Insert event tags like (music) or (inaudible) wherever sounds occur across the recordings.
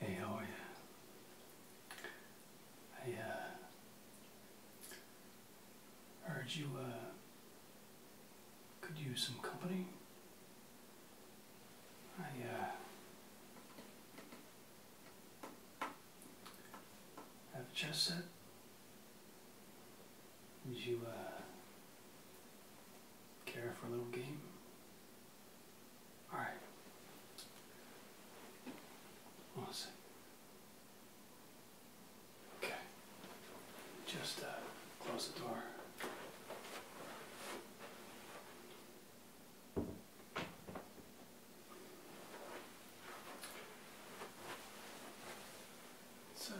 Hey, how are you? I uh, heard you uh, could use some company. I, uh, ah. have a chess set. Would you uh, care for a little game? Alright. One second. Okay. Just uh, close the door. So,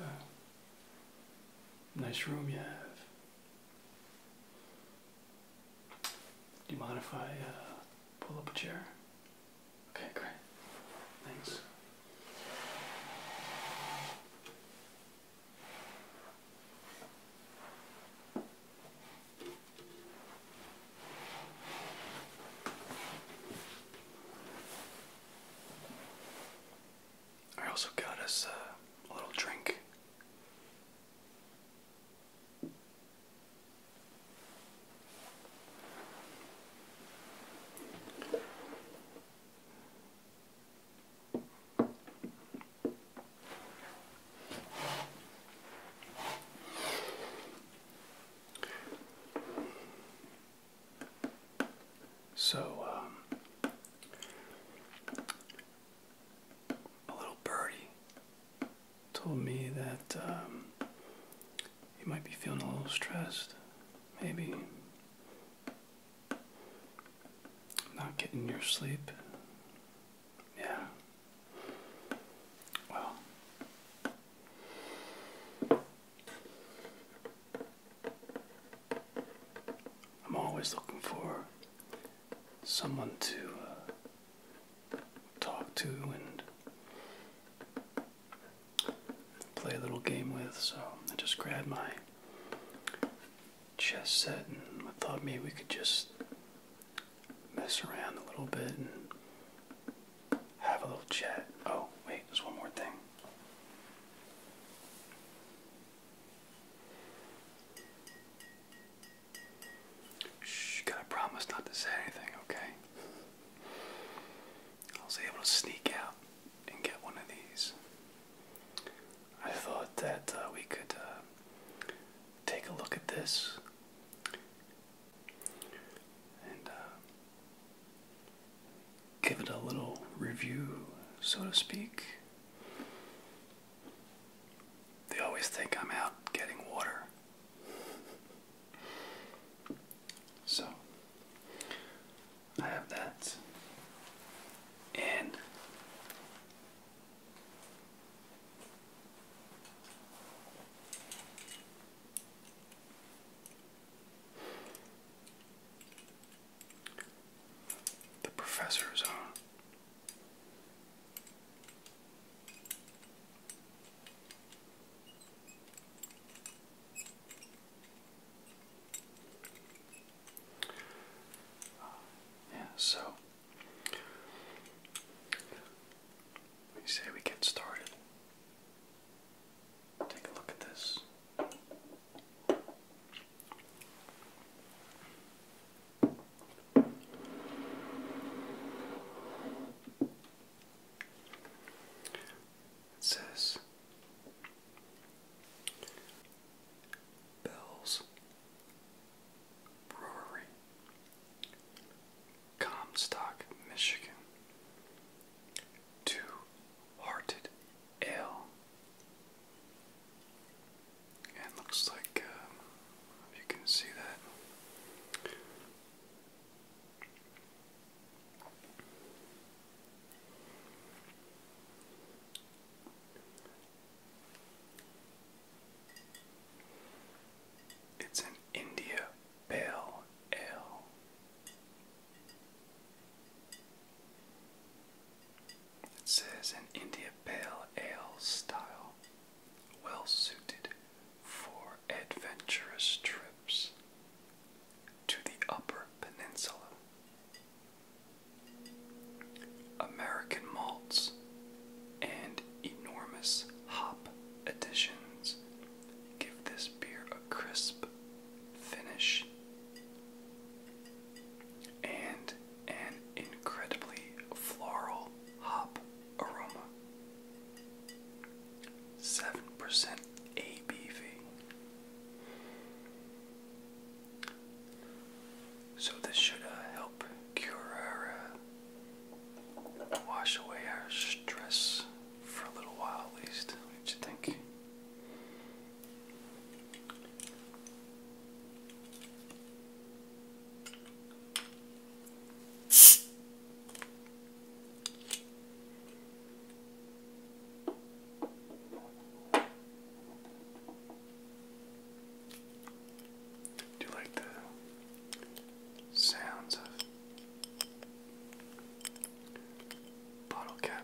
nice room you have. Do you mind if I uh, pull up a chair? Okay, great. Thanks. I also got us uh, a little drink. So, um, a little birdie told me that you um, might be feeling a little stressed. Maybe not getting your sleep. Yeah. Well. I'm always looking for someone to uh, talk to and play a little game with, so I just grabbed my chess set and thought maybe we could just mess around a little bit and have a little chat. Oh, wait, there's one more thing. Shh, gotta promise not to say anything, okay? I was able to sneak out and get one of these. I thought that uh, we could uh, take a look at this. And uh, give it a little review, so to speak. They always think I'm out getting water. (laughs) So, I have that. And the professor's on. yeah, so let We say we get started. Take a look at this. It says bells Brewery, Comstock, Michigan. Two Hearted Ale. And looks like um, you can see that. It's an India Pale Ale. It says an India Pale Ale style, well suited for adventurous trips to the Upper Peninsula. American malts, and enormous hop additions give this beer a crisp finish and an incredibly floral hop aroma. 7% ABV. So this should uh, help cure our, uh, wash away our stress for a little while at least, What do you think? Do you like the sounds of bottle cap?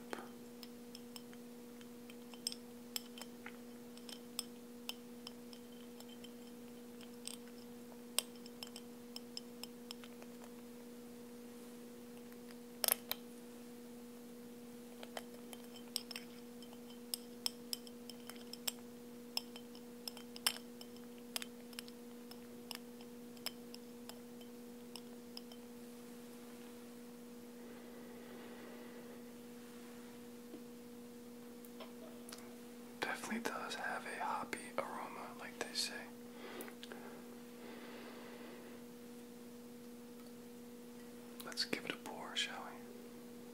Definitely does have a hoppy aroma, like they say. Let's give it a pour, shall we?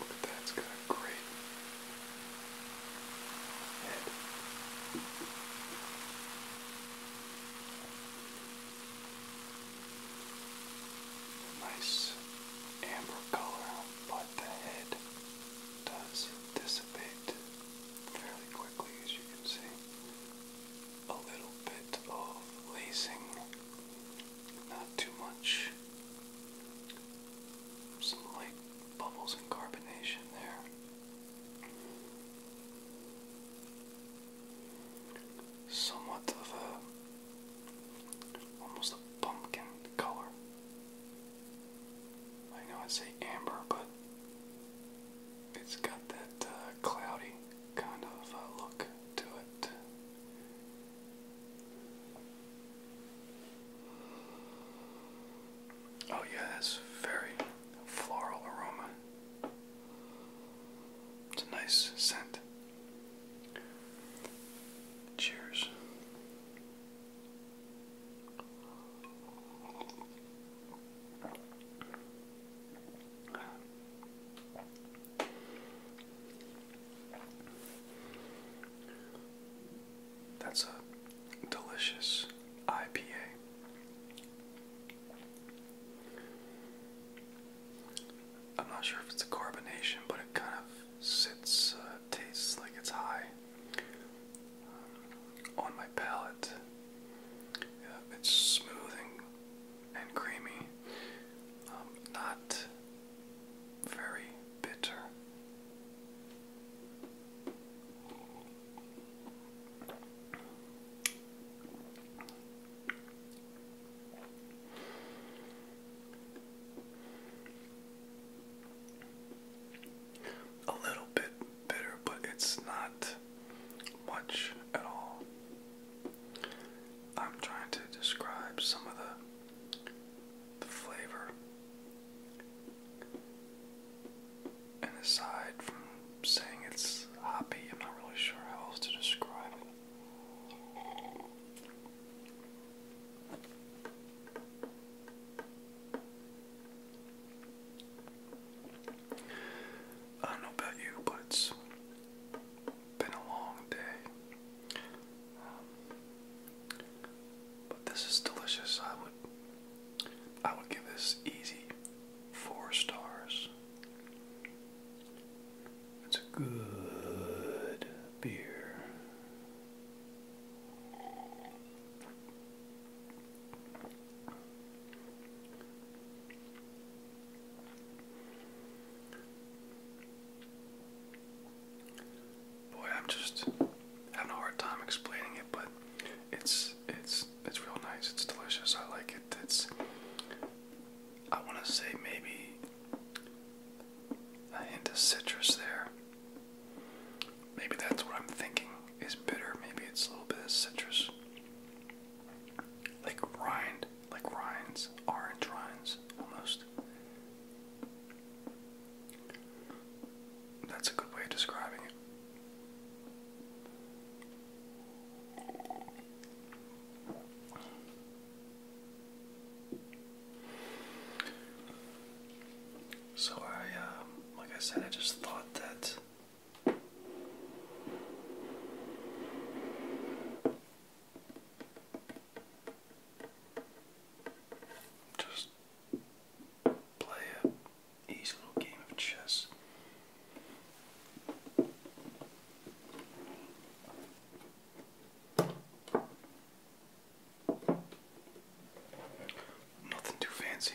Look at that, it's got a great head. nice amber color, but the head does dissipate fairly quickly, as you can see. A little bit of lacing not too much. Some light bubbles and carbonation there. Somewhat of a almost a pumpkin color. I know I say amber, but it's got that uh, cloudy kind of uh, look to it. Oh, yeah, that's very floral aroma. It's a nice scent. Cheers. That's a delicious IPA. I'm not sure if it's a carbonation, but it kind of sits, uh, tastes like it's high um, on my palate. it's smooth and, and creamy. Um, not very bitter. A little bit bitter, but it's not much at all. I'm trying to describe some of the the flavor. And aside from saying it's hoppy, I'm not really sure how else to describe it. I don't know about you, but it's been a long day. Um, but this is delicious. I would, I would give this easy four stars. It's a good beer. Boy, I'm just having a hard time explaining it, but it's it's it's real nice. It's delicious. I like it. It's I want to say maybe a hint of citrus there. Maybe that's what I'm thinking is bitter. Maybe it's a little bit of citrus, like rind like rinds, orange rinds almost. That's a good way of describing it. So I, um, like I said, I just thought that just play a easy little game of chess. Nothing too fancy.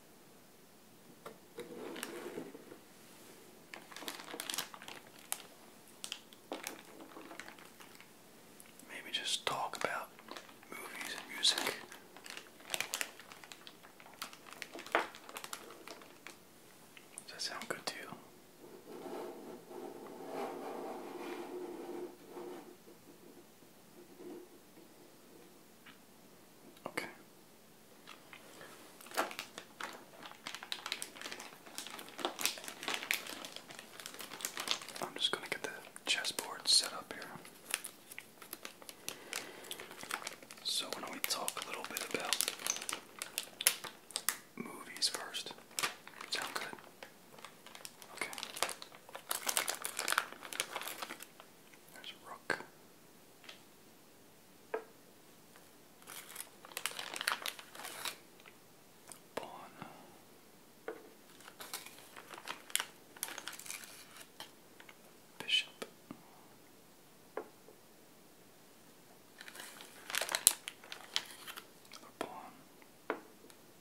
Maybe just talk about movies and music. Does that sound good to you? Okay. I'm just going to get the chessboard set up here. So, why don't we talk a little bit about movies first? Sound good? Okay. There's a rook. Pawn. Bishop. pawn.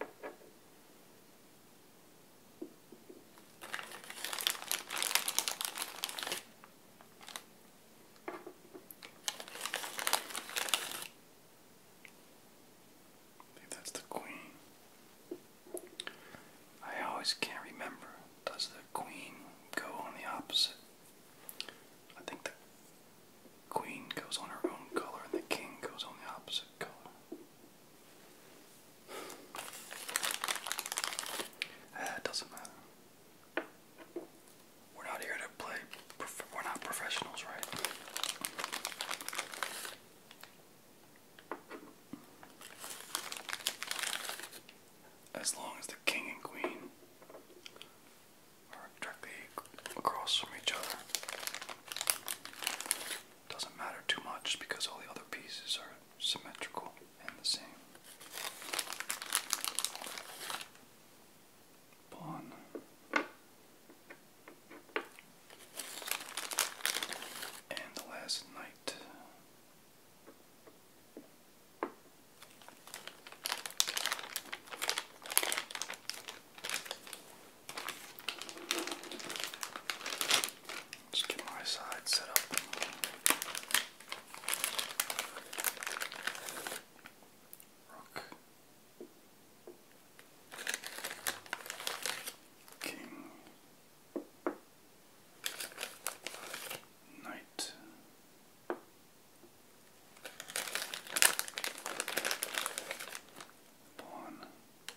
I think that's the queen. I always can't remember. Does the queen go on the opposite? I think the queen goes on her own color and the king goes on the opposite color. Uh, it doesn't matter. We're not here to play. We're not professionals, right? As long as the king and queen are directly across from each other doesn't matter too much because all the other pieces are symmetrical and the same. Pawn. And the last knight. Just get my side set up. Rook. King. Knight. Pawn.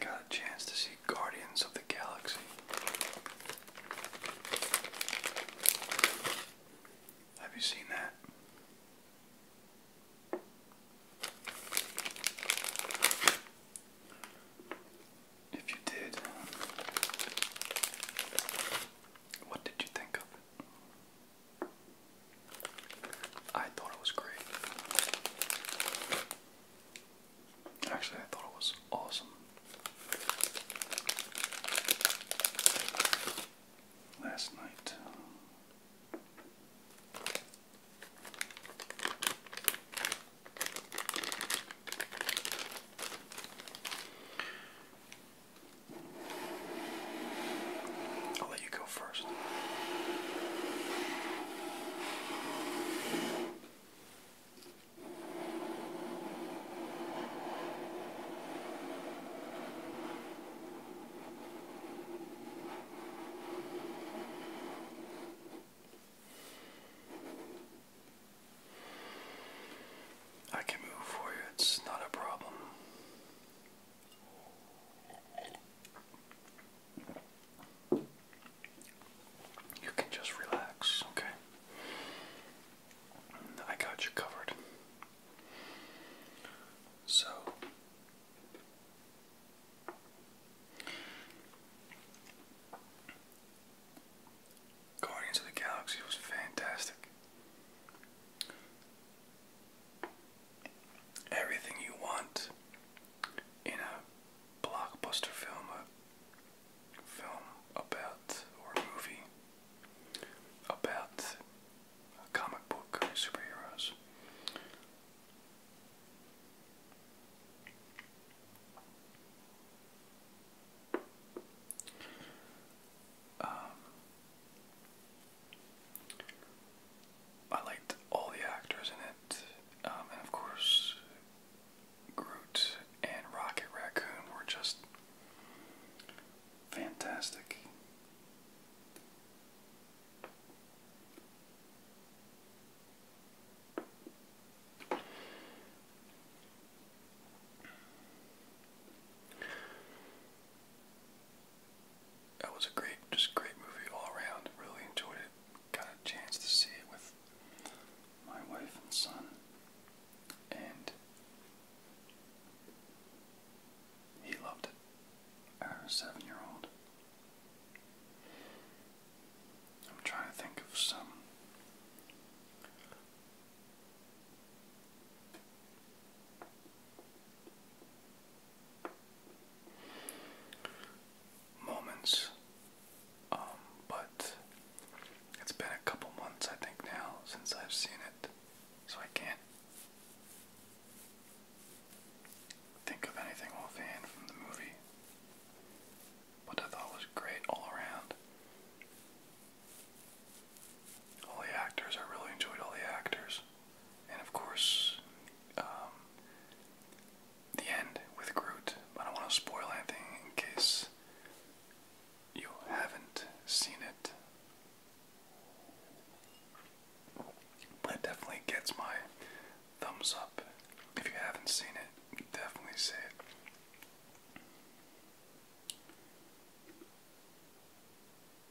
got a chance to see Guardians of the Galaxy. Have you seen that? If you did, what did you think of I thought it was great. Actually, I thought it was awesome. Last night. I'll let you go first. I can move for you, it's not a problem. You can just relax, okay? I got you covered. So, Guardians of the Galaxy was fantastic. Everything you want in a blockbuster film, a film about, or movie about comic book superheroes. Um, I liked all the actors in it, um, and of course, Groot and Rocket Raccoon were just fantastic that was a great, just great movie all around. Really enjoyed it. Got a chance to see it with my wife and son, and he loved it. Our seven-year-old. I'm trying to think of some moments. Um, but it's been a couple months, I think, now since I've seen it, so I can't think of anything offhand from the movie. What I thought was great all around all the actors. I really enjoyed all the actors, and of course, um, the end with Groot. I don't want to spoil anything in case you haven't seen it, but it definitely gets my thumbs up. If you haven't seen it, definitely see it.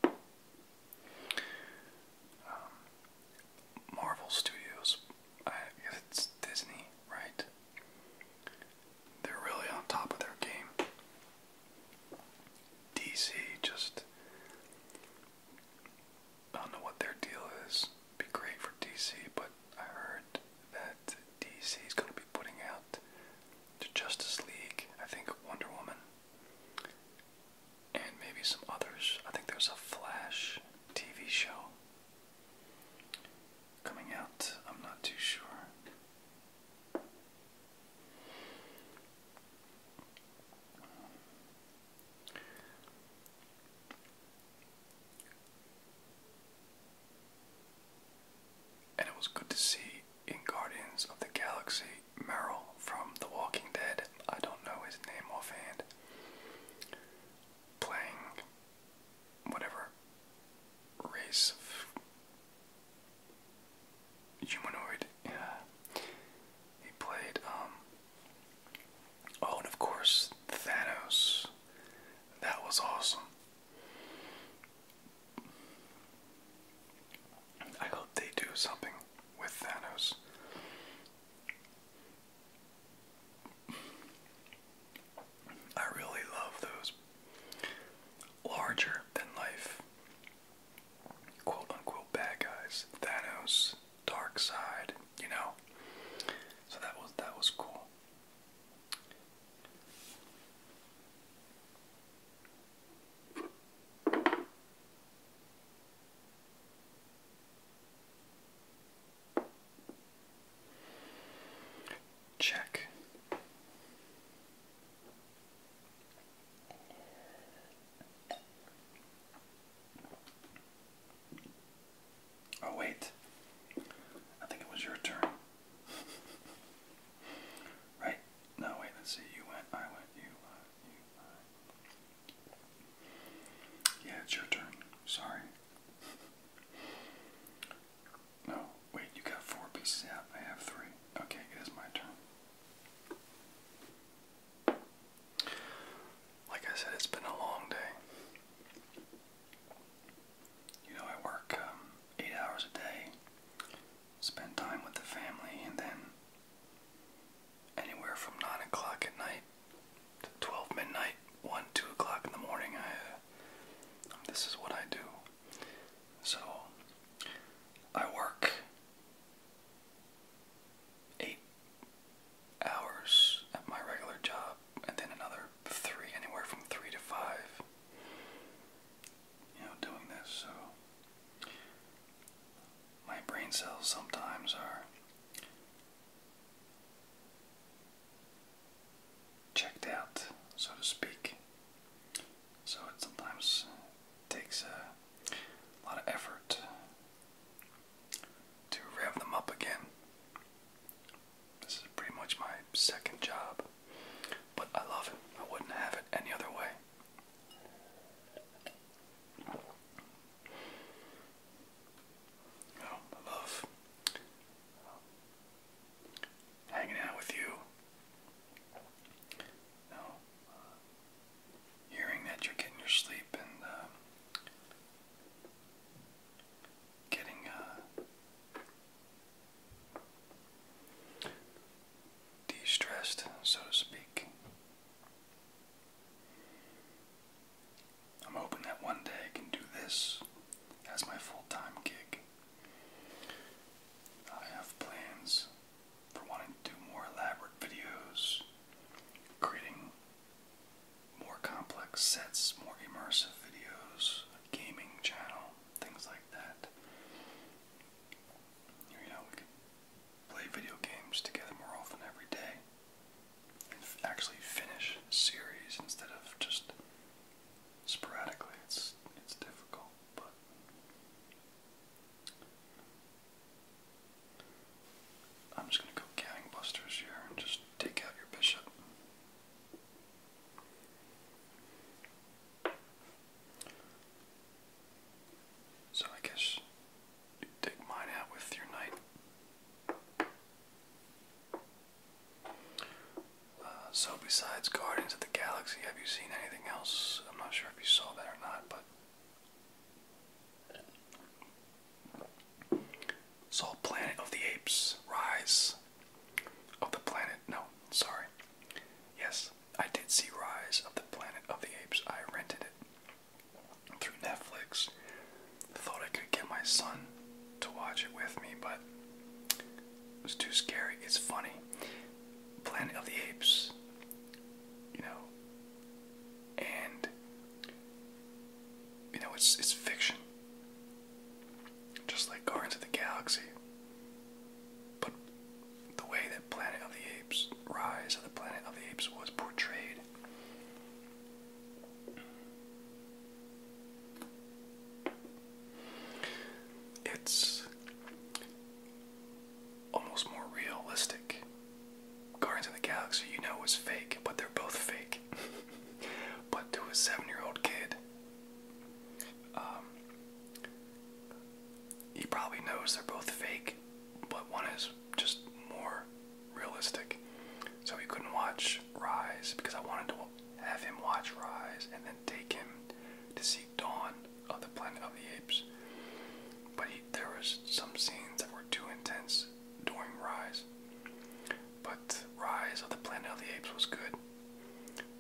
Um, Marvel Studios, I guess it's Disney, right? They're really on top of their game. DC just. I don't know what their deal is. It'd be great for DC, but I heard that DC is going to be putting out to Justice League, I think Wonder Woman, and maybe some others. I think there's a Flash TV show coming out, I'm not too sure. And it was good to see in Guardians of the Galaxy Meryl from The Walking Dead, I don't know his name offhand, playing whatever race of humanoid. Yeah. He played, um, oh, and of course, Thanos. That was awesome. I hope they do something with Thanos. I really love those larger than life quote unquote bad guys. Thanos, Dark Side, you know. So that was that was cool. Check. Oh, wait. I think it was your turn. (laughs) Right? No, wait, let's see. You went, I went, you, I, you, I. Yeah, it's your turn. Sorry. No, wait, you got four pieces out. I have three. Okay, it is my turn. Like I said, it's been a long day. You know, I work um, eight hours a day spend time with the family, and then anywhere from 9 o'clock at night to 12 midnight, 1, 2 o'clock in the morning, I, uh, this is what I do. So, I work 8 hours at my regular job, and then another 3, anywhere from 3 to 5 you know, doing this. So my brain cells sometimes are checked out, so to speak. So it sometimes takes a lot of effort to rev them up again. This is pretty much my second job. But I love it. I wouldn't have it any other way. I oh, love hanging out with you. you uh, hearing that you're getting your sleep and uh, getting uh, de stressed, so to speak. I'm hoping that one day I can do this as my full time gig. I have plans for wanting to do more elaborate videos, creating more complex sets, more immersive videos, a gaming channel, things like that. You know, we could play video games together more often every day and actually finish series instead of just sporadically. It's it's difficult, but I'm just gonna go gangbusters here and just take out your bishop. So I guess take mine out with your knight. Uh, so besides Guardians of the Galaxy, have you seen anything else? I'm not sure if you saw that or not, but saw Planet of the Apes: Rise of the Planet. No, sorry. Yes, I did see Rise of the Planet of the Apes. I rented it through Netflix. Thought I could get my son to watch it with me, but it was too scary. It's funny. Planet of the Apes, you know, and you know it's it's fiction. Just like Guardians of the Galaxy. But the way that Planet of the Apes, Rise of the Planet of the Apes, was portrayed, it's almost more realistic. Guardians of the Galaxy, you know, is fake, but they're both fake. (laughs) but to a seven year old kid, um, he probably knows they're both fake, but one is just more realistic. So he couldn't watch Rise because I wanted to have him watch Rise and then take him to see Dawn of the Planet of the Apes. But there was some scenes that were too intense during Rise. But Rise of the Planet of the Apes was good.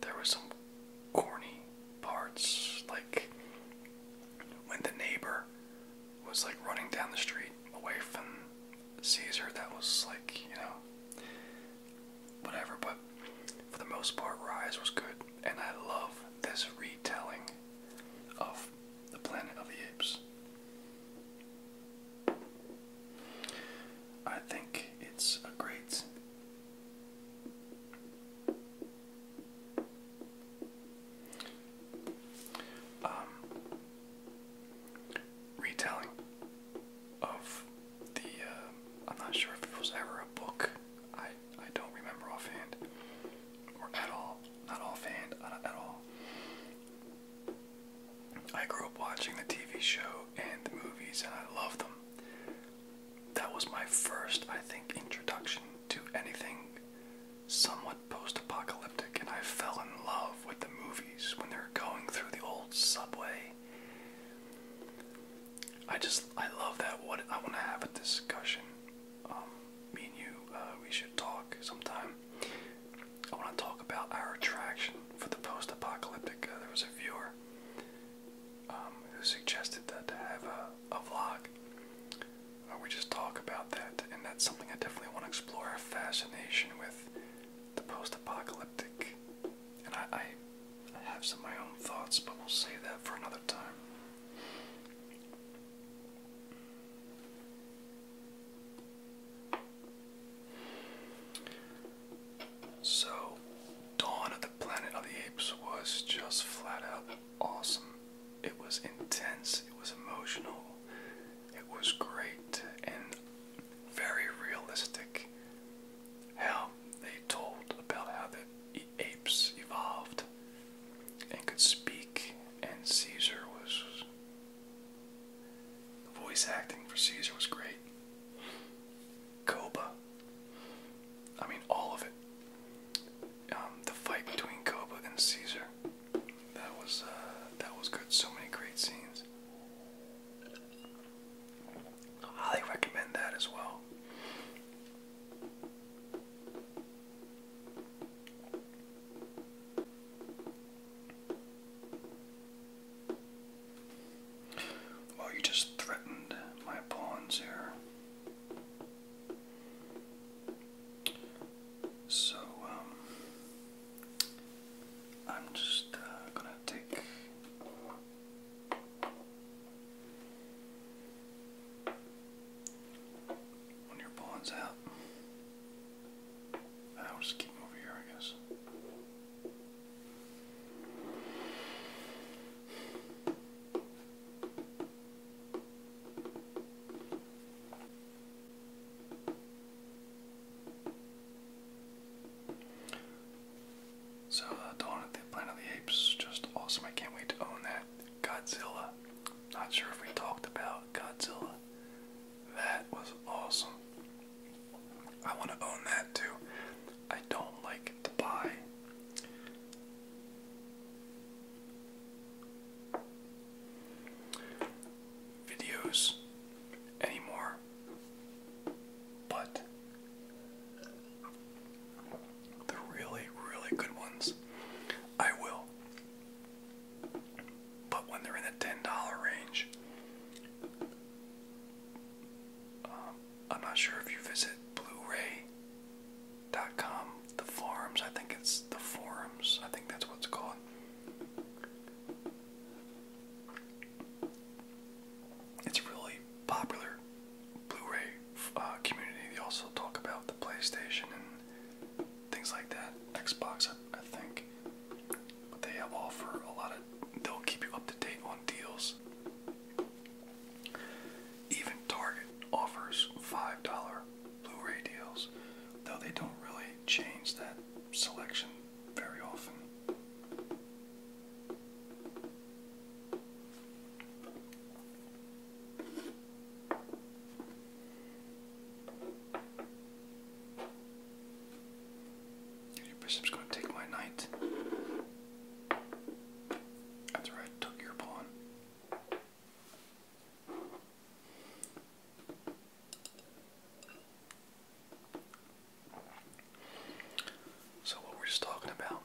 There were some corny parts, like when the neighbor was like running down the street away from Caesar. That was like, you know, whatever. But for the most part, Rise was good, and I love this retelling of the Planet of the Apes. I think it's a great um, retelling of the, uh, I'm not sure if it was ever a book, I, I don't remember offhand, or at all, not offhand, uh, at all. I grew up watching the TV show and the movies, and I loved them that was my first, I think, introduction to anything somewhat post apocalyptic, and I fell in love with the movies when they were going through the old subway. I just, I love that. What I want to have a discussion. Um, me and you, uh, we should talk sometime. I want to talk about our attraction for the post apocalyptic. Uh, there was a viewer um, who suggested that to have a, vlog uh, we just talk about that, and that's something I definitely want to explore. A fascination with the post-apocalyptic, and I, have some my own thoughts, but we'll save that for another time. So, Dawn of the Planet of the Apes was just flat out awesome. It was intense, it was emotional, it was great, and very realistic how they told about how the apes evolved and could speak, and Caesar was. The voice acting for Caesar was great. Koba I mean, all of it. Um, the fight between Koba and Caesar. That was uh, that was good. So many great scenes. highly recommend that as well. Well, you just threatened my pawns here. So, um, I'm just uh, gonna take. When your pawn's out, I'll just keep him here, I guess. So, uh, Dawn of the Planet of the Apes, just awesome. I can't wait to own that. Godzilla. Not sure if we talked about Godzilla. That was awesome. I want to own that too. I don't like to buy. Videos anymore, but the really, really good ones I will. But when they're in the $10 range, um, I'm not sure if you visit Blu-ray.com, the forums. I think it's the forums. I think that's what's called. It's a really popular Blu-ray uh, community. They also talk about the PlayStation and things like that. Xbox, I, think. But they offer a lot of. They'll keep you up to date on deals. Even Target offers $5 Blu ray deals, though they don't really change that selection very often. Your bishop's going to take my knight. That's right, took your pawn. So what we're just talking about,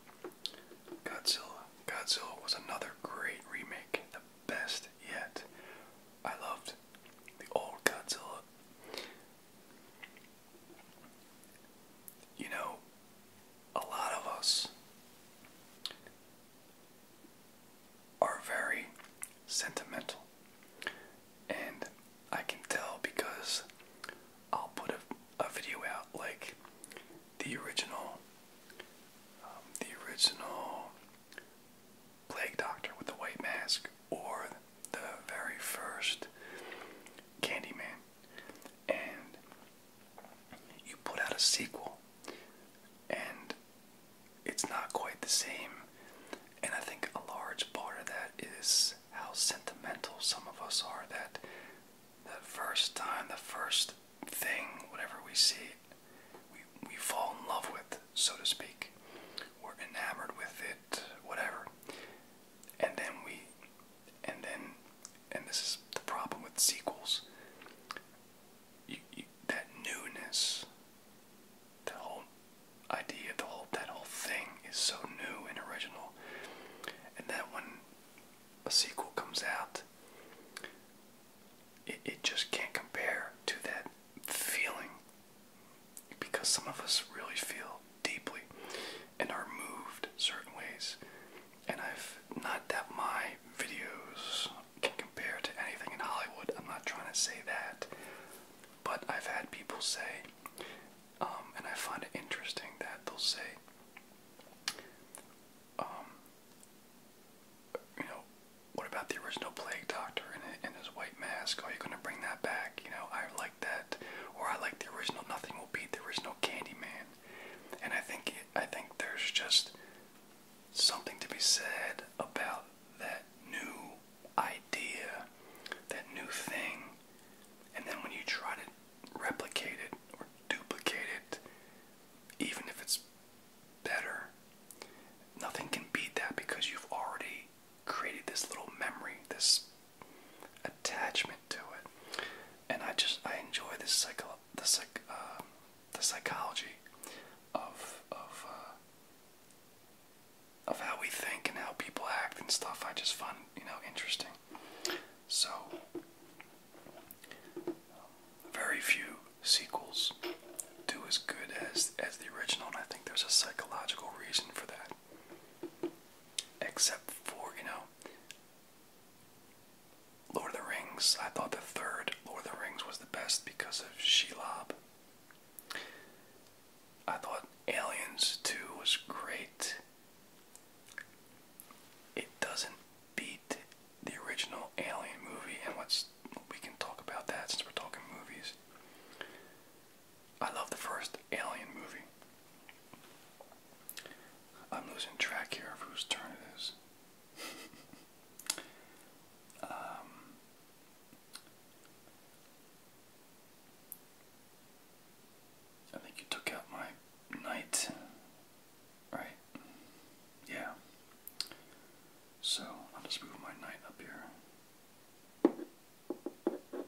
Godzilla. Godzilla was another great remake, the best yet. I loved the old Godzilla you know, a lot of us are very sentimental. And I can tell because I'll put a, video out like the original, um, the original Plague Doctor with the white mask, or the very first Candyman and you put out a sequel and it's not quite the same. And I think a large part of that is how sentimental some of us are that the first time, the first thing, whatever we see, we, we fall in love with, so to speak. We're enamored with it, whatever. And then we, and then and this is the problem with sequels that newness the whole idea the whole that whole thing is so new and original and then when a sequel comes out it, it just can't compare to that feeling because some of us really feel deeply and are moved certain ways. And I've not that my videos can compare to anything in Hollywood. I'm not trying to say that. But I've had people say, um, and I find it interesting that they'll say, um, you know, what about the original Plague Doctor in his white mask? Are oh, you going to bring that back? You know, I like that, or I like the original. Nothing will beat the original Candyman. And I think I think there's just something to be said about that new idea, that new thing, and then when you try to replicate it or duplicate it, even if it's better, nothing can beat that because you've already created this little memory, this attachment to it, and I just I enjoy this psycho the psych uh, the psychology of of uh, of how we think and how people act and stuff. I just find you know interesting. So very few sequels do as good as as the original, and I think there's a psychological reason for that. Except for you know, Lord of the Rings, I thought the third Lord of the Rings was the best because of Shelob. I thought Aliens 2 was great. It doesn't beat the original Alien movie, and what's we can talk about that since we're talking movies. I love the first Alien movie. I'm losing track here of whose turn it is. (laughs) Um, I think you took out my knight, right? Yeah. So I'll just move my knight up here.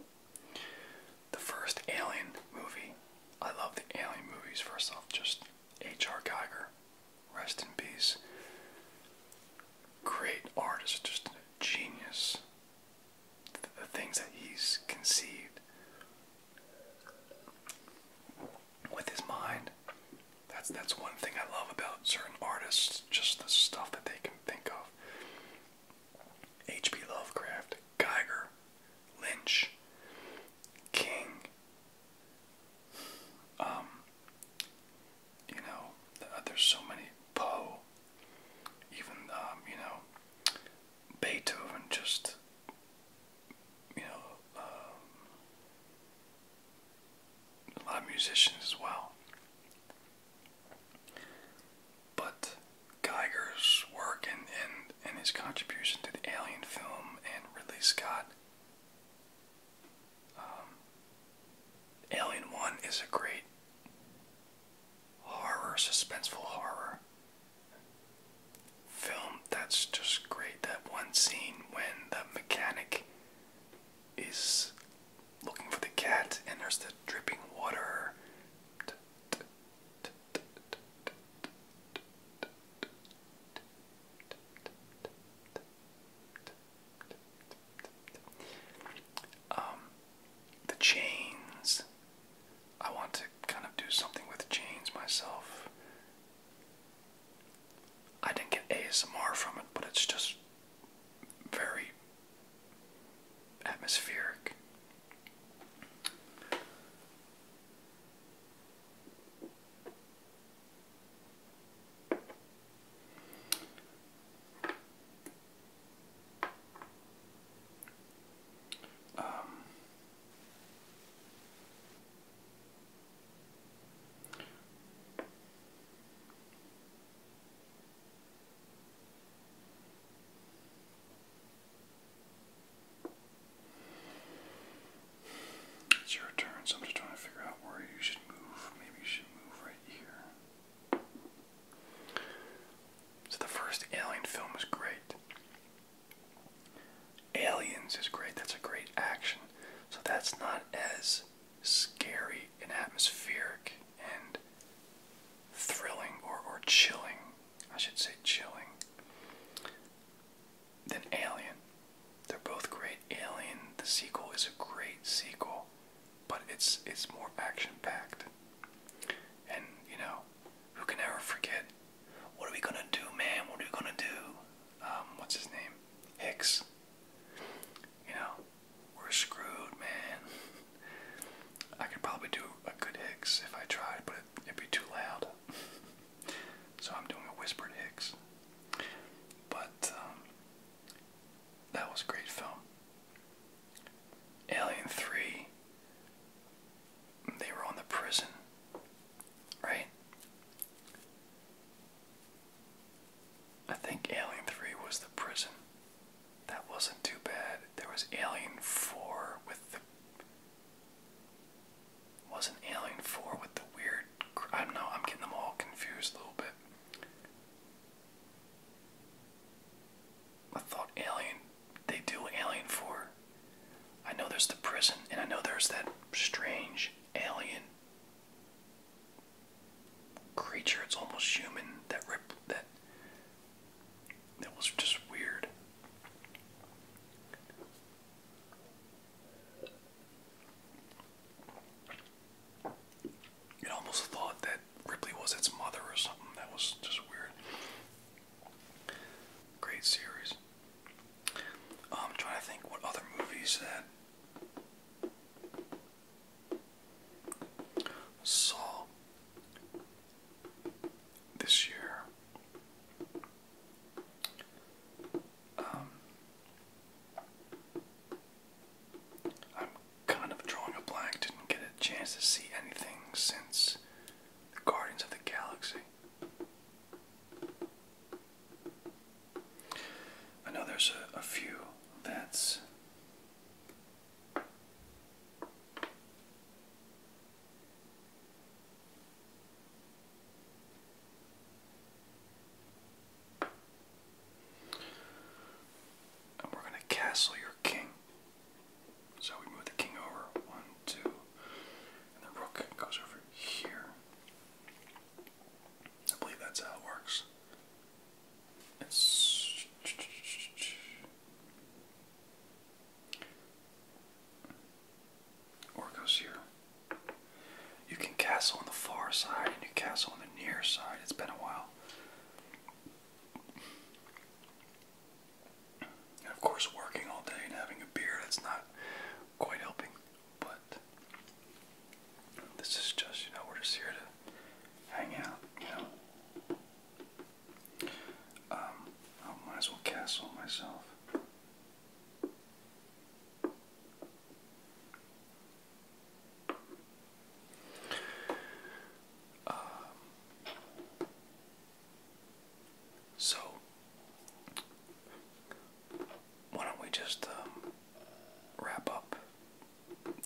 The first Alien movie. I love the Alien movies, first off, just H.R. Geiger. Rest in peace. Great artist, just genius. The things that he's conceived with his mind. That's that's one thing I love about certain artists, just the stuff that they can think of. H.P. Lovecraft, Geiger, Lynch, King, um, you know, uh, there's so many, Poe, even, um, you know, Beethoven, just, you know, um, a lot of musicians as well. But Geiger's work and, and, and his contribution to the Alien film and Ridley Scott. Um, Alien 1 is a great horror, suspenseful horror film that's just great. That one scene when the mechanic is looking for the cat and there's the dripping water. Um, the chains. I want to kind of do something with chains myself. I didn't get ASMR from it, but it's just very atmospheric. Um, it's your turn, so I'm just trying to figure out where you should move. Maybe you should move right here. So the first Alien film is great. Aliens is great. That's a great action. So that's not as scary and atmospheric and thrilling or, or chilling I should say chilling, than Alien. They're both great. Alien, the sequel, is a great sequel, but it's it's more action packed. And you know, who can ever forget? What are we gonna do, man? What are we gonna do? Um, what's his name? Hicks. You know, we're screwed, man. (laughs) I could probably do a good Hicks if I tried, but it, would be too loud. so I'm doing a whispered Hicks. But um, that was a great film. Alien 3, they were on the prison, right? I think Alien 3 was the prison. That wasn't too bad there was Alien Four with the wasn't Alien Four with the weird. I don't I'm getting them all confused a little bit. I thought Alien. They do Alien Four. I know there's the prison, and I know there's that strange alien creature. It's almost human. That rip that that was just weird. It almost thought that Ripley was its mother or something. That was just weird. Great series. Um, I'm trying to think what other movies that saw this year. Um, I'm kind of drawing a blank, didn't get a chance to see anything since the Guardians of the Galaxy. I know there's a, a few that's and we're going to castle your king. So we move the king over. One, two. And the rook goes over here. I believe that's how it works. Or here. You can castle on the far side and you castle on the near side. It's been a while. And of course, working all day and having a beer, that's not quite helping. But this is just, you know, we're just here to hang out, you know. Um, I might as well castle myself. Um, so, why don't we just um, wrap up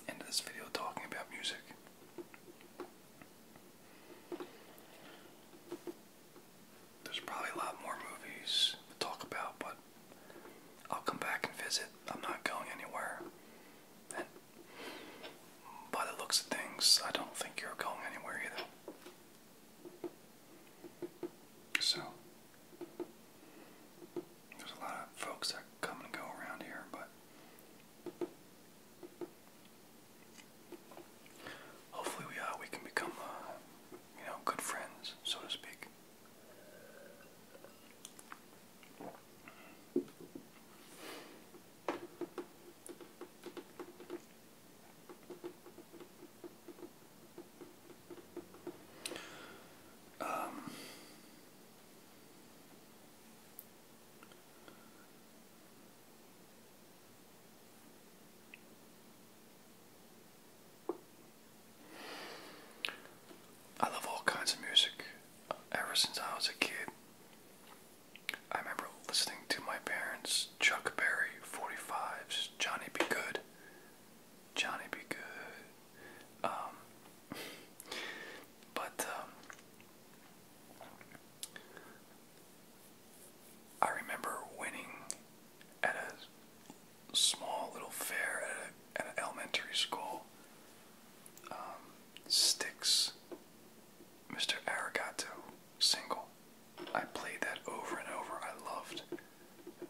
into this video talking about music? There's probably a lot more movies to talk about, but I'll come back and visit. I'm not going anywhere. And by the looks of things, I don't think you're going anywhere either. So, there's a lot of folks that come and go around here, but Hopefully, we uh, we can become uh, you know good friends, so to speak. Um, I love all kinds of music. Ever since I was a kid, I remember listening to my parents Chuck Berry, 45s, Johnny Be Good, Johnny Be Good. Um, (laughs) but um, I remember winning at a small little fair at, an elementary school. Um, Sticks, Mr. Arigato, single. I played that over and over. I loved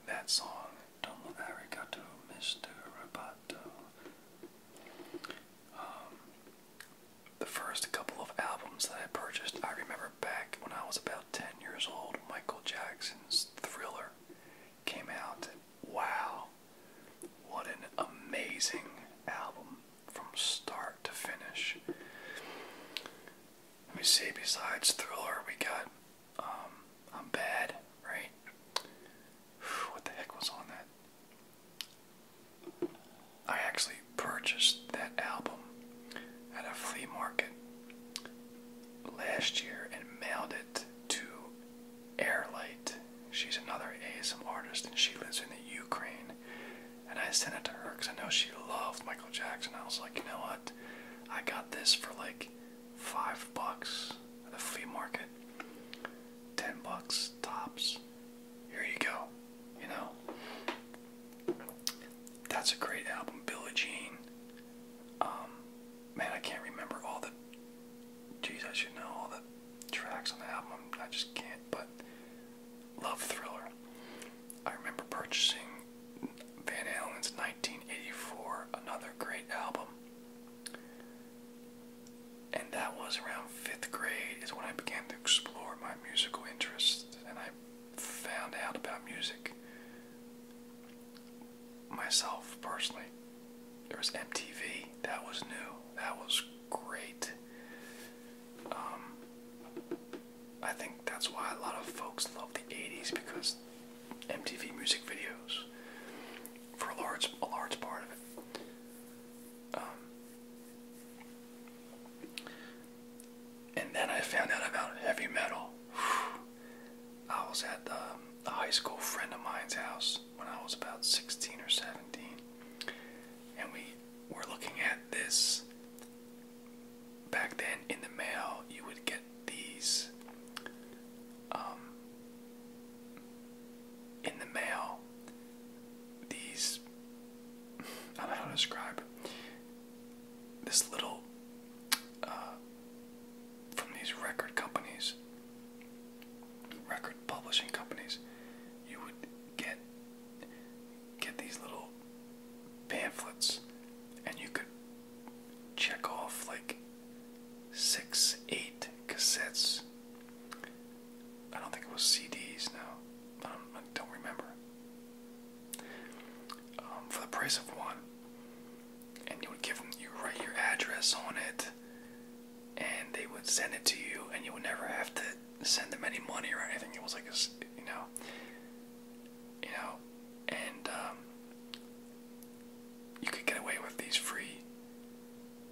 that song. Domo Arigato, Mr. Roboto. Um, the first couple of albums that I purchased, I remember back when I was about 10 years old, Michael Jackson's Thriller came out. Wow, what an amazing album from start to finish. Let me see, besides Thriller, we got um, I'm Bad, right? What the heck was on that? I actually purchased that album at a flea market last year and mailed it to Airlight. She's another ASM artist and she lives in the Ukraine. And I sent it to her because I know she loved Michael Jackson. I was like, you know what? I got this for like five bucks at a flea market, ten bucks tops here you go. You know, that's a great album, Billie Jean. Um, man, I can't remember all the. Geez, I know all the tracks on the album. I just can't. But Love Thriller. I remember purchasing Van Halen's 1984, another great album. And that was around fifth grade is when I began to explore my musical interests and I found out about music myself personally. There was MTV, that was new, that was great. Um, I think that's why a lot of folks love the 80s because MTV music videos for a large, large part of it. Um, and then I found out about heavy metal. I was at the, um, a high school friend of mine's house when I was about 16 or 17, and we were looking at this. Back then, in the mail, you would get these um, in the mail, these I don't know how to describe this little uh, from these record companies, record publishing companies. You would get get these little pamphlets, and you could check off like six, eight cassettes I don't think it was CDs now. I um, don't, I don't remember. Um, for the price of one, and you would give them, you write your address on it, and they would send it to you, and you would never have to send them any money or anything. It was like a, you know, you know, and um, you could get away with these free.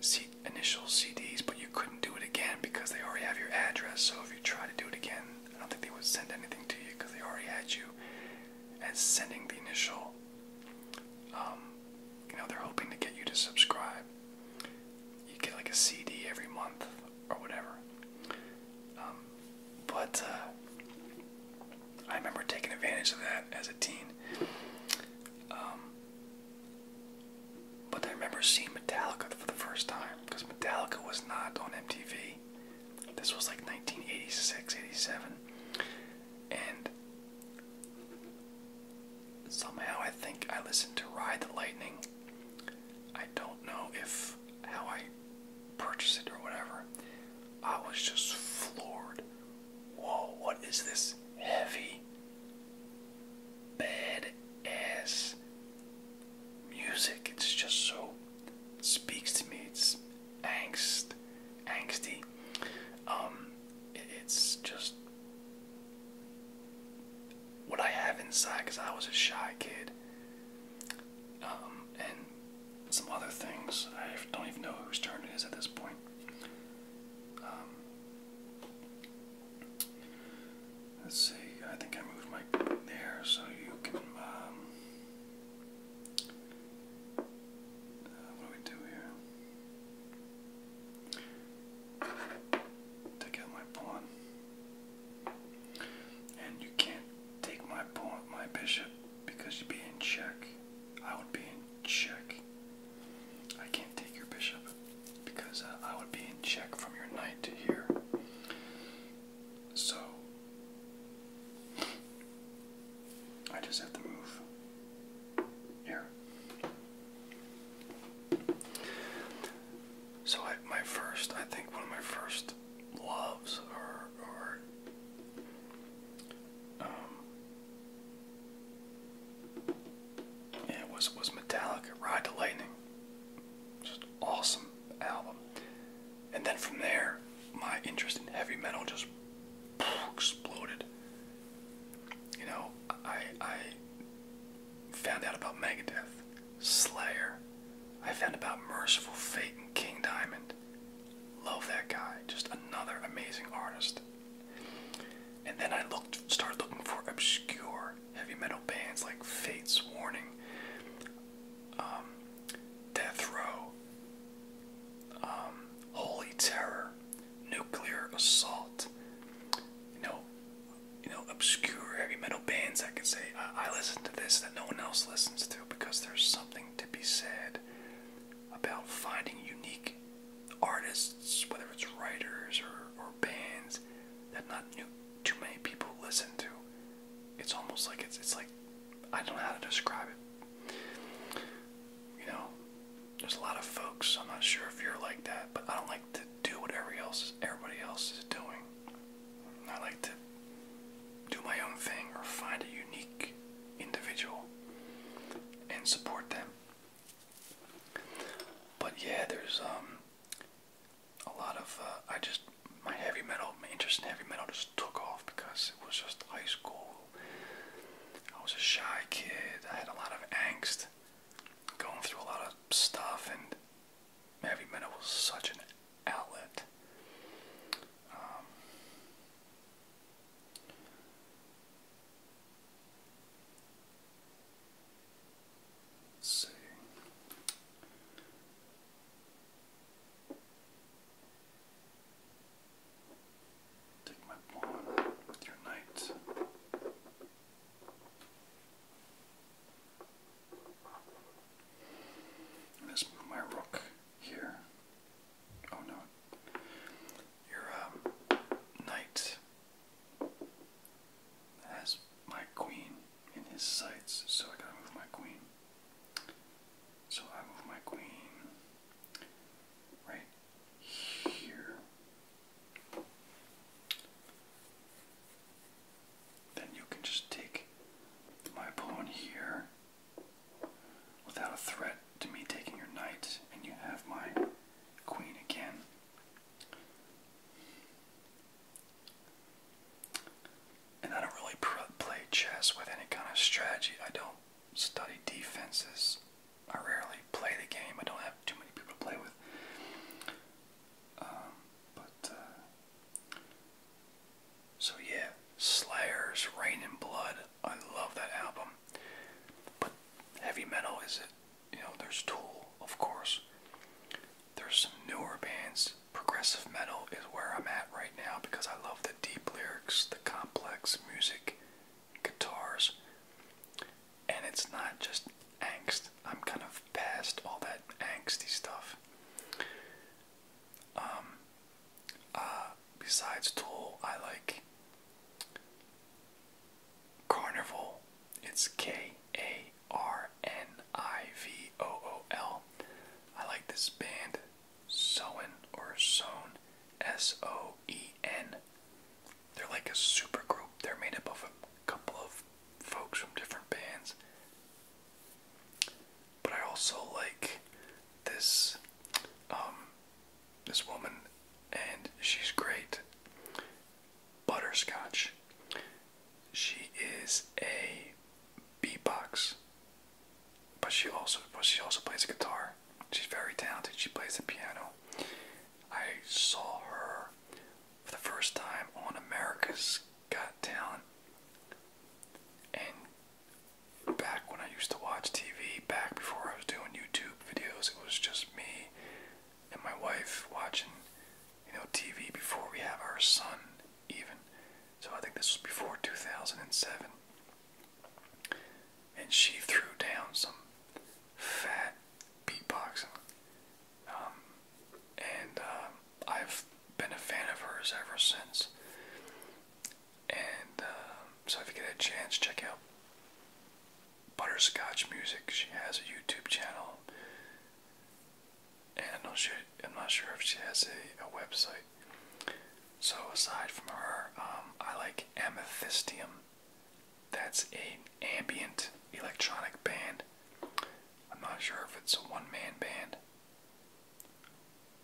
CD initial CDs, but you couldn't do it again because they already have your address. So if you try to do it again, I don't think they would send anything to you because they already had you And sending the initial. Um, you know, they're hoping to get you to subscribe. You get like a CD every month or whatever. Um, but uh, I remember taking advantage of that as a teen. Um, but I remember seeing Metallica for the first time because Metallica was not on MTV. This was like 1986, 87. And somehow I think I listened to Ride the Lightning. I don't know if how I purchased it or whatever. I was just floored. Whoa, what is this heavy bad ass music. It's just so it speaks to me. It's angst, angsty. Um, it's just what I have inside because I was a shy kid. Um, and some other things. I don't even know whose turn it is at this point. Um, Let's see, I think I moved my there so you can, um, uh, what do we do Take out my pawn. And you can't take my pawn, my bishop, because you'd be in check. I would be in check. I can't take your bishop because uh, I would be in check from your knight to here. So I just have to move here. So my first, I think one of my first loves or, or um, yeah, was was Metallica, Ride the Lightning just awesome album. And then from there, my interest in heavy metal just exploded. You know, I I found out about Megadeth, Slayer. I found about Merciful Fate and King Diamond. Love that guy. Just another amazing artist. And then I looked started looking for obscure heavy metal bands like Fate's Warning, um, Death Row, um, Holy Terror, Nuclear Assault. You know, you know, obscure heavy metal bands. I could say I, I listen to this that no one else listens to because there's something to be said about finding unique artists, whether it's writers or, or bands that not new, too many people listen to. It's almost like it's it's like I don't know how to describe it. You know, there's a lot of folks. I'm not sure if you're like that, but I don't like to do what else, everybody else is doing. I like to do my own thing or find a unique individual and support them. But yeah, there's um a lot of uh, I just my heavy metal, my interest in heavy metal just took off because it was just high school. I was a shy kid. I had a lot of angst, going through a lot of stuff, and heavy metal was such an outlet. Um, Let's see. Take my pawn with your knight. Let's move my rook here. Oh no. Your um, knight has my queen in his sights, so I gotta move my queen. So I move my queen right here. Then you can just take my pawn here without a threat to me taking your knight, and you have my queen again. And I don't really play chess with any kind of strategy. I don't study defenses. I rarely play the game. I don't have too many people to play with. Um, but uh, so yeah, Slayer's Rain and Blood. I love that album. But heavy metal is it? you know, there's Tool, of course. There's some newer bands. Progressive metal is where I'm at right now because I love the deep lyrics, the complex music, guitars, and it's not just angst. I'm kind of past all that angsty stuff. Um, uh, besides Tool, I like Carnival. It's K A R N I V O O L. I like this band, Soen or Soen, S O E N. They're like a super group. They're made up of a couple of folks from different bands. But I also like this um this woman and she's great. Butterscotch she is a beatbox, but she also but she also plays guitar. She's very talented. She plays the piano. I saw her for the first time on America's Got Talent, and back when I used to watch TV, back before I was doing YouTube videos, it was just me and my wife watching you know, TV before we have our son, even. So I think this was before 2007. And she threw down some fat beatboxing. Um, and uh, I've been a fan of hers ever since. And uh, so if you get a chance, check out butterscotch music. She has a YouTube channel, and I'm not sure, if she has a, website. So aside from her, um, I like Amethystium. That's an ambient electronic band. I'm not sure if it's a one-man band,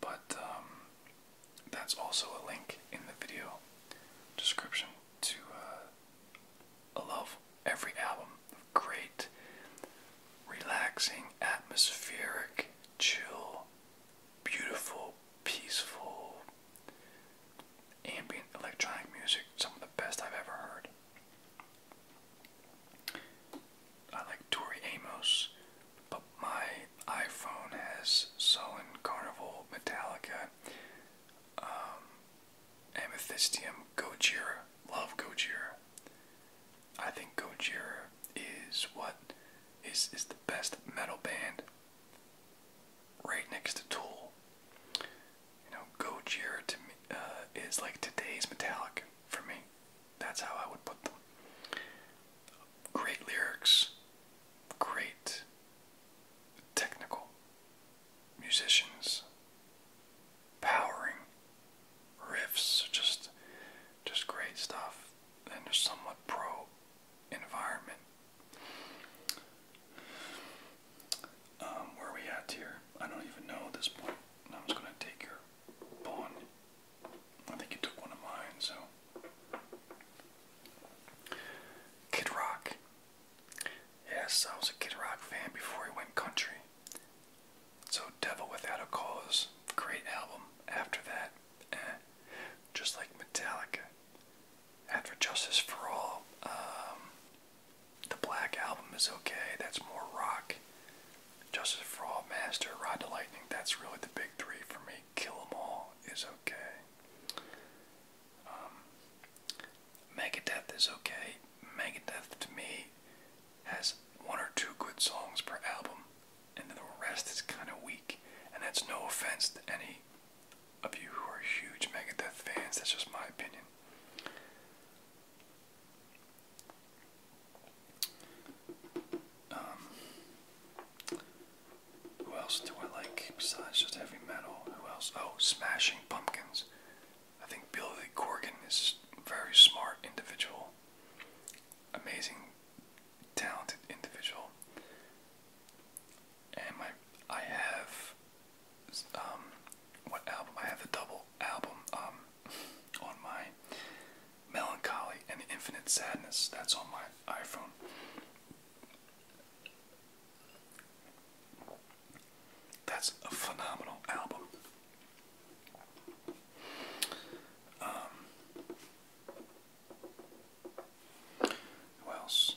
but um, that's also a link in the video description to uh, love every album great, relaxing, atmospheric, chill, beautiful, peaceful, ambient electronic music. Some of the best I've ever heard. I like Tori Amos, but my iPhone has Sullen, Carnival, Metallica, um, Amethystium Gojira. Love Gojira. I think Gojira is what is is the best metal band right next to Tool. You know, Gojira to me uh, is like today's Metallic for me. That's how I would put them. Great lyrics, great technical musicians powering riffs, just just great stuff, and a somewhat pro environment. Um, where are we at here? I don't even know at this point. I'm just gonna take your pawn. I think you took one of mine, so Kid Rock Yes, I was a Kid Rock fan before he went country. So, Devil Without a Cause, great album. After that, eh, just like Metallica. After Justice for All, um, the Black Album is okay, that's more rock. Justice for All, Master, Rod to Lightning, that's really the big three for me. Kill 'em All is okay. Um, Megadeth is okay. Megadeth to me has one or two good songs per album, and the rest is kind of weak. And that's no offense to any of you who are huge Megadeth fans, that's just my opinion. Um, who else do I like besides just heavy metal? Who else? Oh, Smashing Pumpkins. I think Billy Corgan is a very smart individual, amazing, talented individual, and my I have um what album I have the double album um on my melancholy and infinite sadness that's on my iPhone. That's a phenomenal album. Um, who else?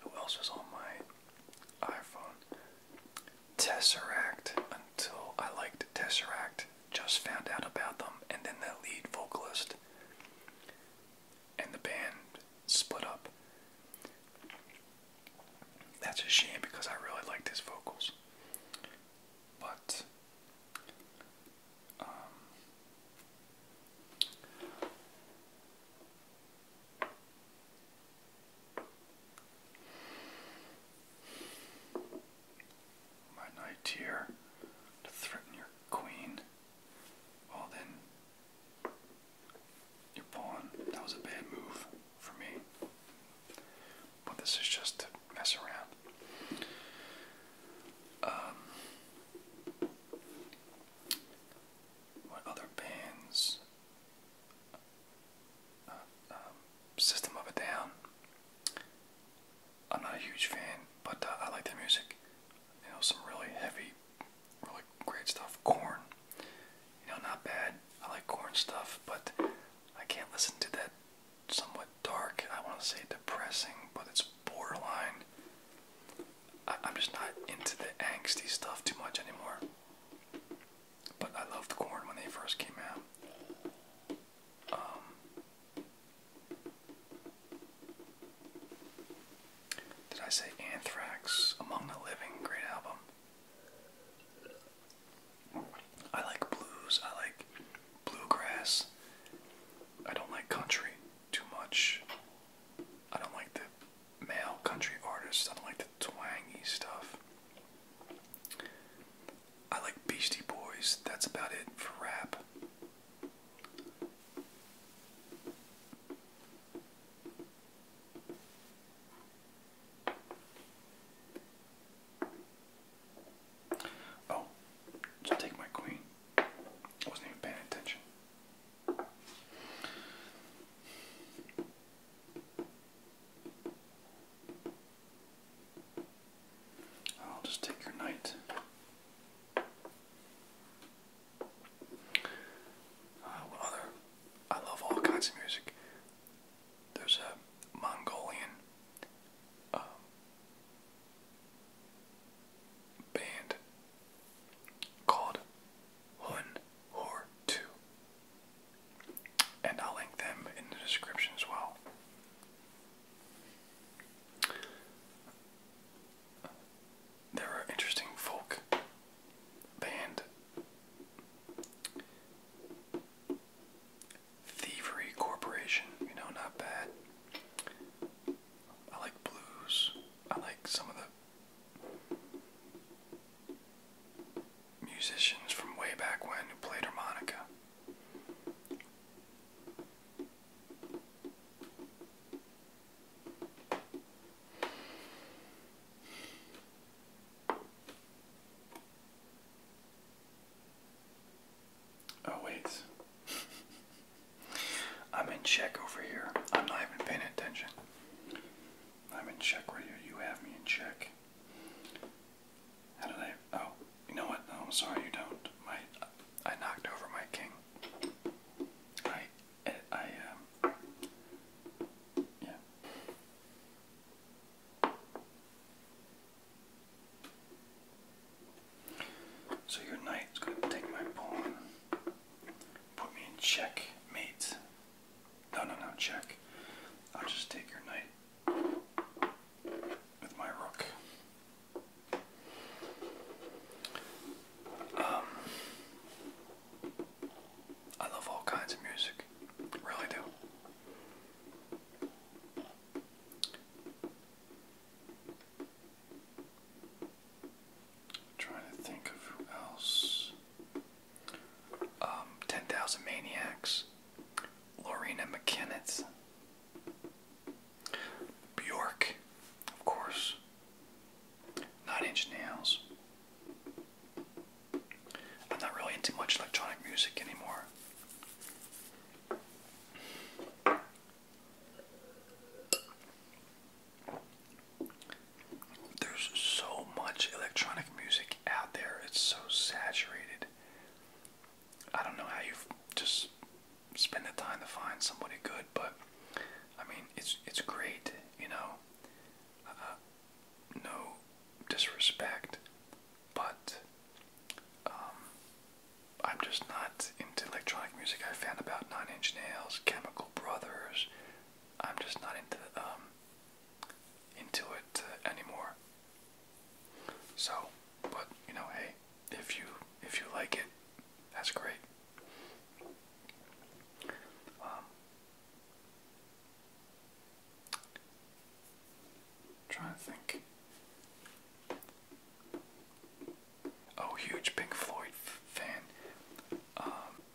Who else is on my iPhone? Tesseract. Until I liked Tesseract, just found out about them, and then the lead vocalist and the band split up. That's a shame because I really liked his vocals. But um, my knight here to threaten your queen. Well then, your pawn. That was a bad move for me. But this is just to mess around. Um, what other bands? Uh, um, System of a Down. I'm not a huge fan, but uh, I like their music you know, some really heavy, really great stuff. Corn, you know, not bad. I like corn stuff, but I can't listen to that somewhat dark, I want to say depressing, but it's borderline. I, am just not into the angsty stuff too much anymore. But I loved corn when they first came out. Um, did I say Anthrax? Among the Living, great album. I like blues, I like bluegrass. I don't like country too much. I don't like the male country artists, I don't like the twangy stuff. I like Beastie Boys, that's about it for rap. Oh, just take my queen. I wasn't even paying attention. I'll just take your knight. Uh, what other? I love all kinds of music. There's a Mongolian um, band called Hun Hor 2. And I'll link them in the description as well. There are interesting folk band. Thievery Corporation, you know, not bad. I like blues. I like some of the musicians from way back when who played harmonica. Oh, wait. (laughs) I'm in check over here. I'm not even paying attention. I'm in check right here. You have me in check. How did I? Oh, you know what? No, oh, sorry you don't. My, I knocked over my king. I um, so your knight's going to take my pawn, put me in check, mate. No, no, no, check. I'll just take your knight with my rook. Um, I love all kinds of music, really do. trying to think of who else. Um, ten Thousand Maniacs, Lorena McKinnett. Bjork, of course. Nine Inch Nails. I'm not really into much electronic music anymore. There's so much electronic music out there, it's so saturated. I don't know how you just spend the time to find somebody good, but I mean, it's it's great, you know. Uh, no disrespect, but um, I'm just not into electronic music. I found about Nine Inch Nails, Chemical Brothers. I'm just not into um, into it uh, anymore. So, but you know, hey, if you if you like it, that's great. Um, trying think. Oh, huge Pink Floyd fan. Um,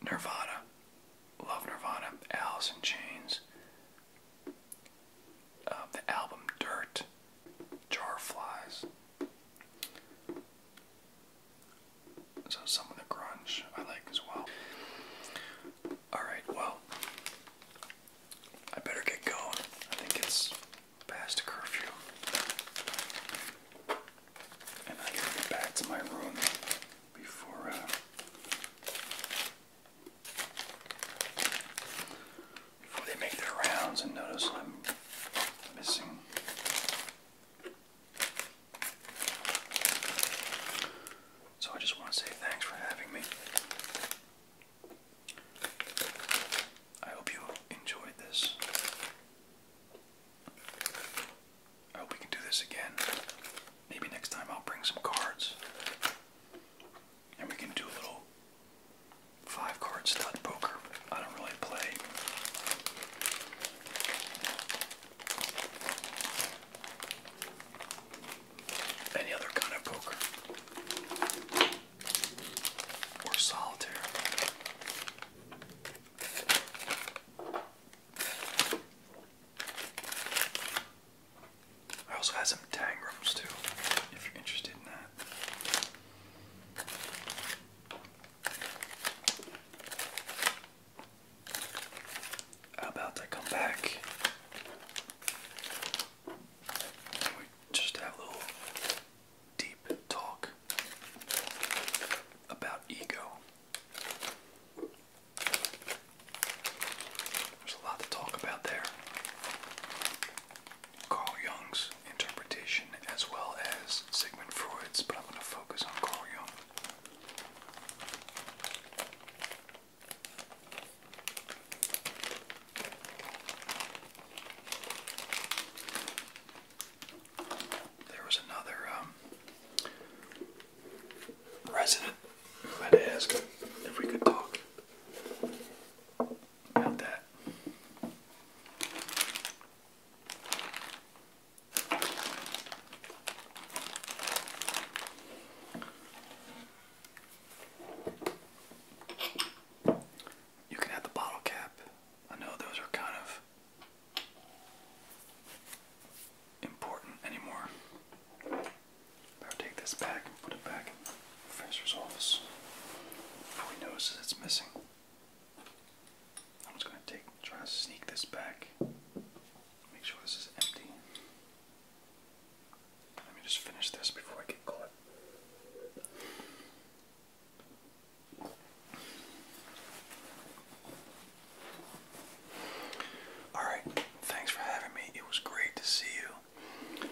Love Nirvana. Alice in Chains. Um, the album Dirt. Jar Flies. So some of the grunge I like as well. Alright, well, I better get going. I think it's past curfew. And I gotta get back to my room before, uh, they make their rounds and notice I'm missing so I just want to say thanks for having me. I hope you enjoyed this. I hope we can do this again. Maybe next time I'll bring some cards. And we can do a little five cards. stud poker. I don't really play. Any other kind of poker or solitaire. I also have some tangrams too, if you're interested in that about I come back? we just have a little deep talk about ego. There's a lot to talk about there. Carl Jung's interpretation as well as Sigmund Freud's, but I'm going to focus on Carl Jung. There was another um, resident who had asked if we could talk about that. You can add the bottle cap. I know those are kind of important anymore. Better take this back and put it back in the professor's office before he notices it's missing. I'm just gonna take, try to sneak this back. Make sure this is empty. Let me just finish this before I get caught. Alright, thanks for having me. It was great to see you.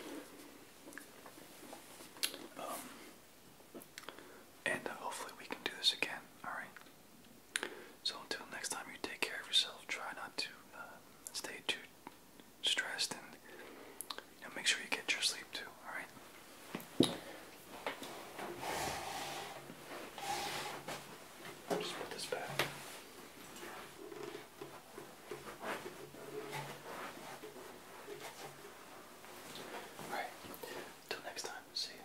Um, and hopefully we can do this again, alright? So until next time, you take care of yourself. Try not to uh, stay too stressed and make sure you get your sleep too, alright? Just put this back. All right. Until next time, see you.